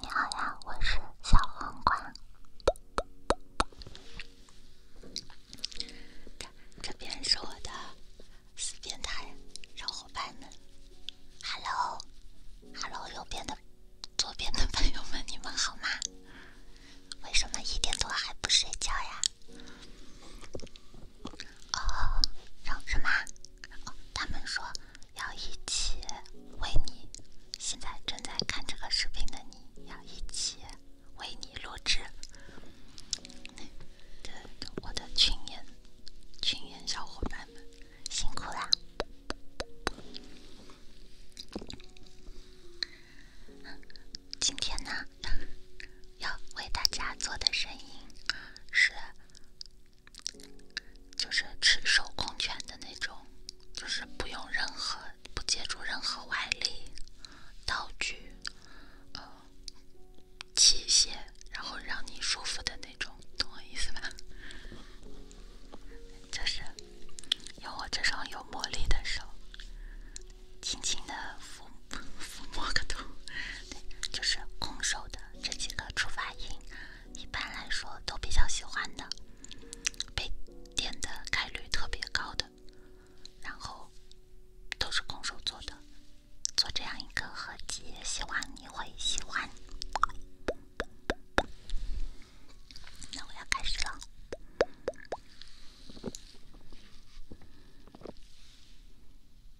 你好呀，我是小黄瓜。这边是我的四边台小伙伴们 h e l l 右边的、左边的朋友们，你们好吗？为什么一点多还不睡觉呀？哦，什么？他们说。要一起为你，现在正在看这个视频的你要一起为你录制的我的群演，群演小伙伴们辛苦啦！今天呢，要为大家做的声音是。就是赤手空拳的那种，就是不用任何、不借助任何外力、道具、呃、器械，然后让你舒服的那种，懂我意思吧？就是用我这双有魔力的手，轻轻的抚抚摸个头。对，就是空手的这几个触发音，一般来说都比较喜欢的，被点的概率特别高的，然后都是空手做的，做这样一个合集，希望你会喜欢。那我要开始了。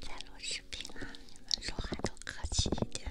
在录视频啊，你们说话都客气一点。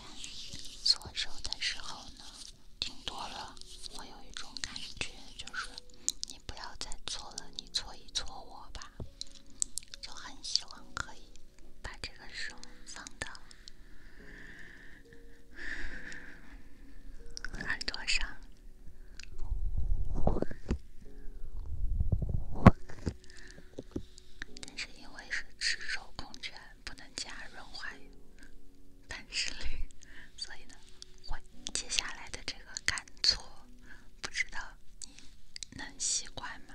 但搓手的时候呢，听多了，我有一种感觉，就是你不要再搓了，你搓一搓我吧，就很喜欢可以把这个手放到耳朵上，但是因为是赤手空拳。不能加润滑液，繁殖率，所以呢，会接下来的这个干搓，不知道你能习惯吗？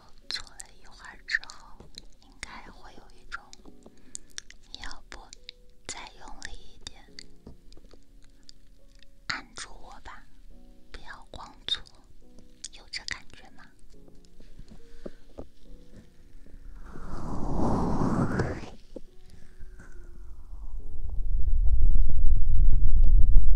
做了一会儿之后，应该会有一种，你要不再用力一点，按住我吧，不要光做，有这感觉吗？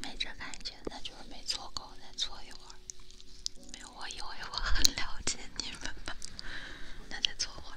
没这感觉，那就是没搓够，再搓一会儿。没有，我以为我很了解你们吧，那再搓会儿。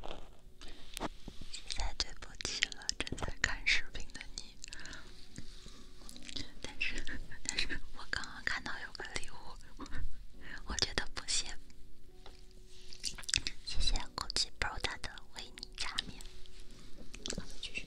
实在对不起了，正在看视频的你。但是，但是我刚刚看到有个礼物，我觉得不行。谢谢空气 pro 的维尼炸面。我们继续。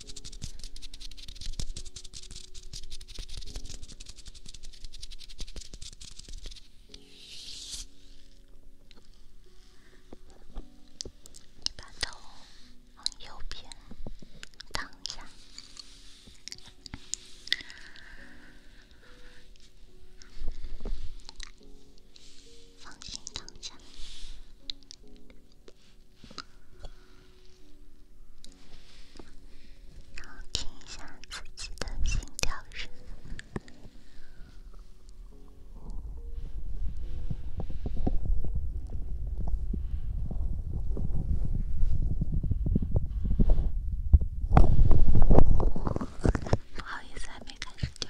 你把头往右边躺下，放心躺下。然后听一下自己的心跳声。不好意思，还没开始叫。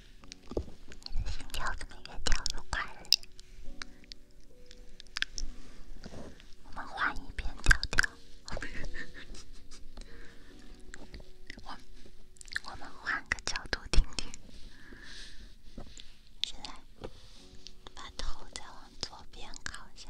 你的心跳怎么越跳越快了？我们换一遍角度，我我们换个角度听听。现在把头再往左边靠一下。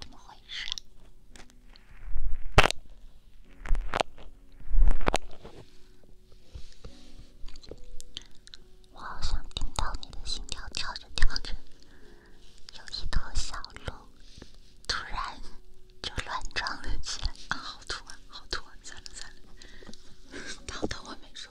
怎么回事？我好想听到你的心跳跳着跳着，有一坨小鹿。突然就乱撞了起来，啊，好突啊，好突啊！算了算了，当着我没说。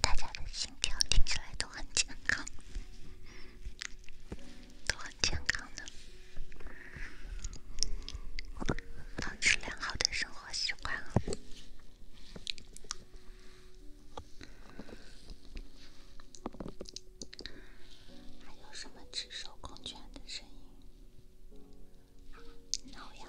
大家的心跳听起来都很健康，都很健康呢。保持良好的生活习惯啊。还有什么赤手空拳的声音？挠痒。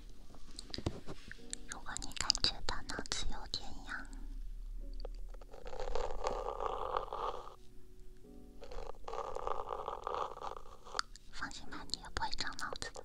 如果你感觉到脑子有点痒，放心吧，你也不会长脑子的。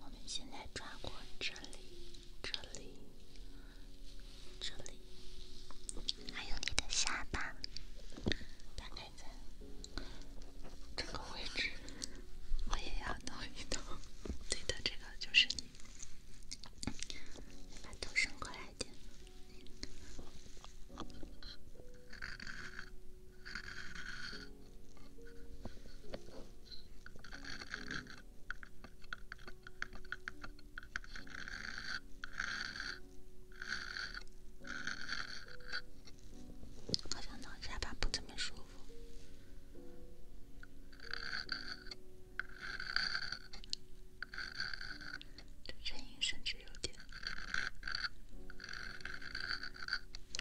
我们现在抓过这里，这里。这里还有你的下巴，大概在这个位置。我也要弄一弄，你的这个就是你，把头伸过来点。好像那沙发不怎么舒服，甚至有点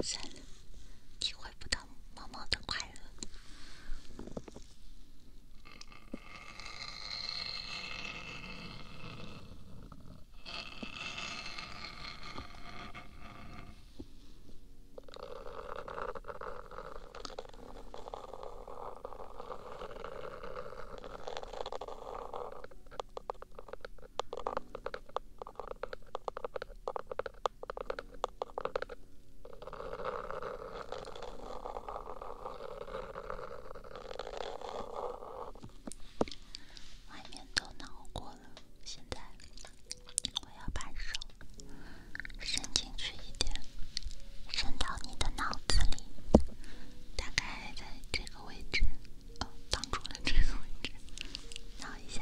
散了，奇怪。不懂，默默的快乐。外面都挠过了，现在我要把手伸进去一点，伸到你的脑子里，大概在这个位置，呃，当中的这个位置，挠一下。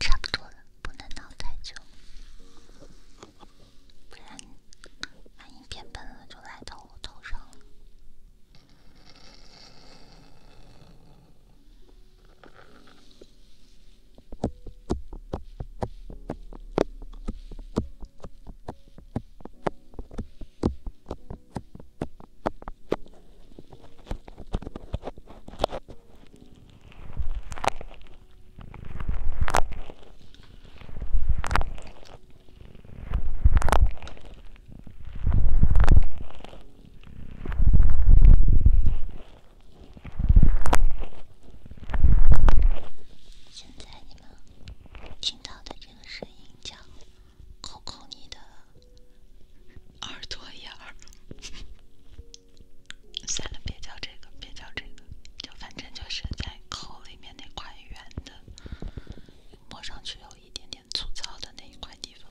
差不多了，不能闹太久。不然，万一变笨了，就来到我头上了。现在你们听到的这个声音，叫“抠抠你的耳朵眼儿”。算了，别叫这个，别叫这个，就反正就是在口里面那块圆的，摸上去有一点点粗糙的那一块地方。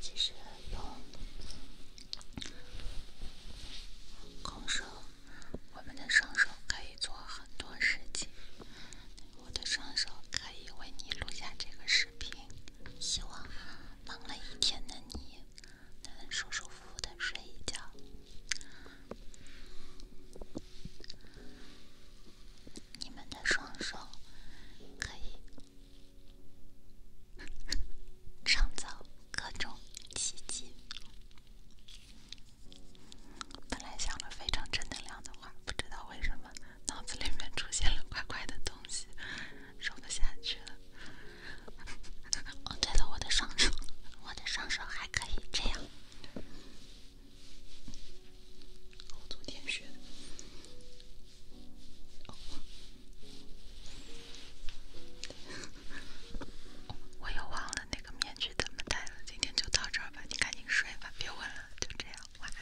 其实用空手，我们的双手可以做很多事情。我的双手可以为你录下这个视频，希望忙了一天的你。能舒舒服服的睡一觉，你们的双手可以创造各种奇迹。本来想了非常正能量的话，不知道为什么脑子里面出现了怪怪的东西，说不下去了。哦对了，我的双手，我的双手还可以这样。我昨天学的，我又忘了那个面具怎么戴了。今天就到这儿吧，你赶紧睡吧，别问了，就这样，晚安。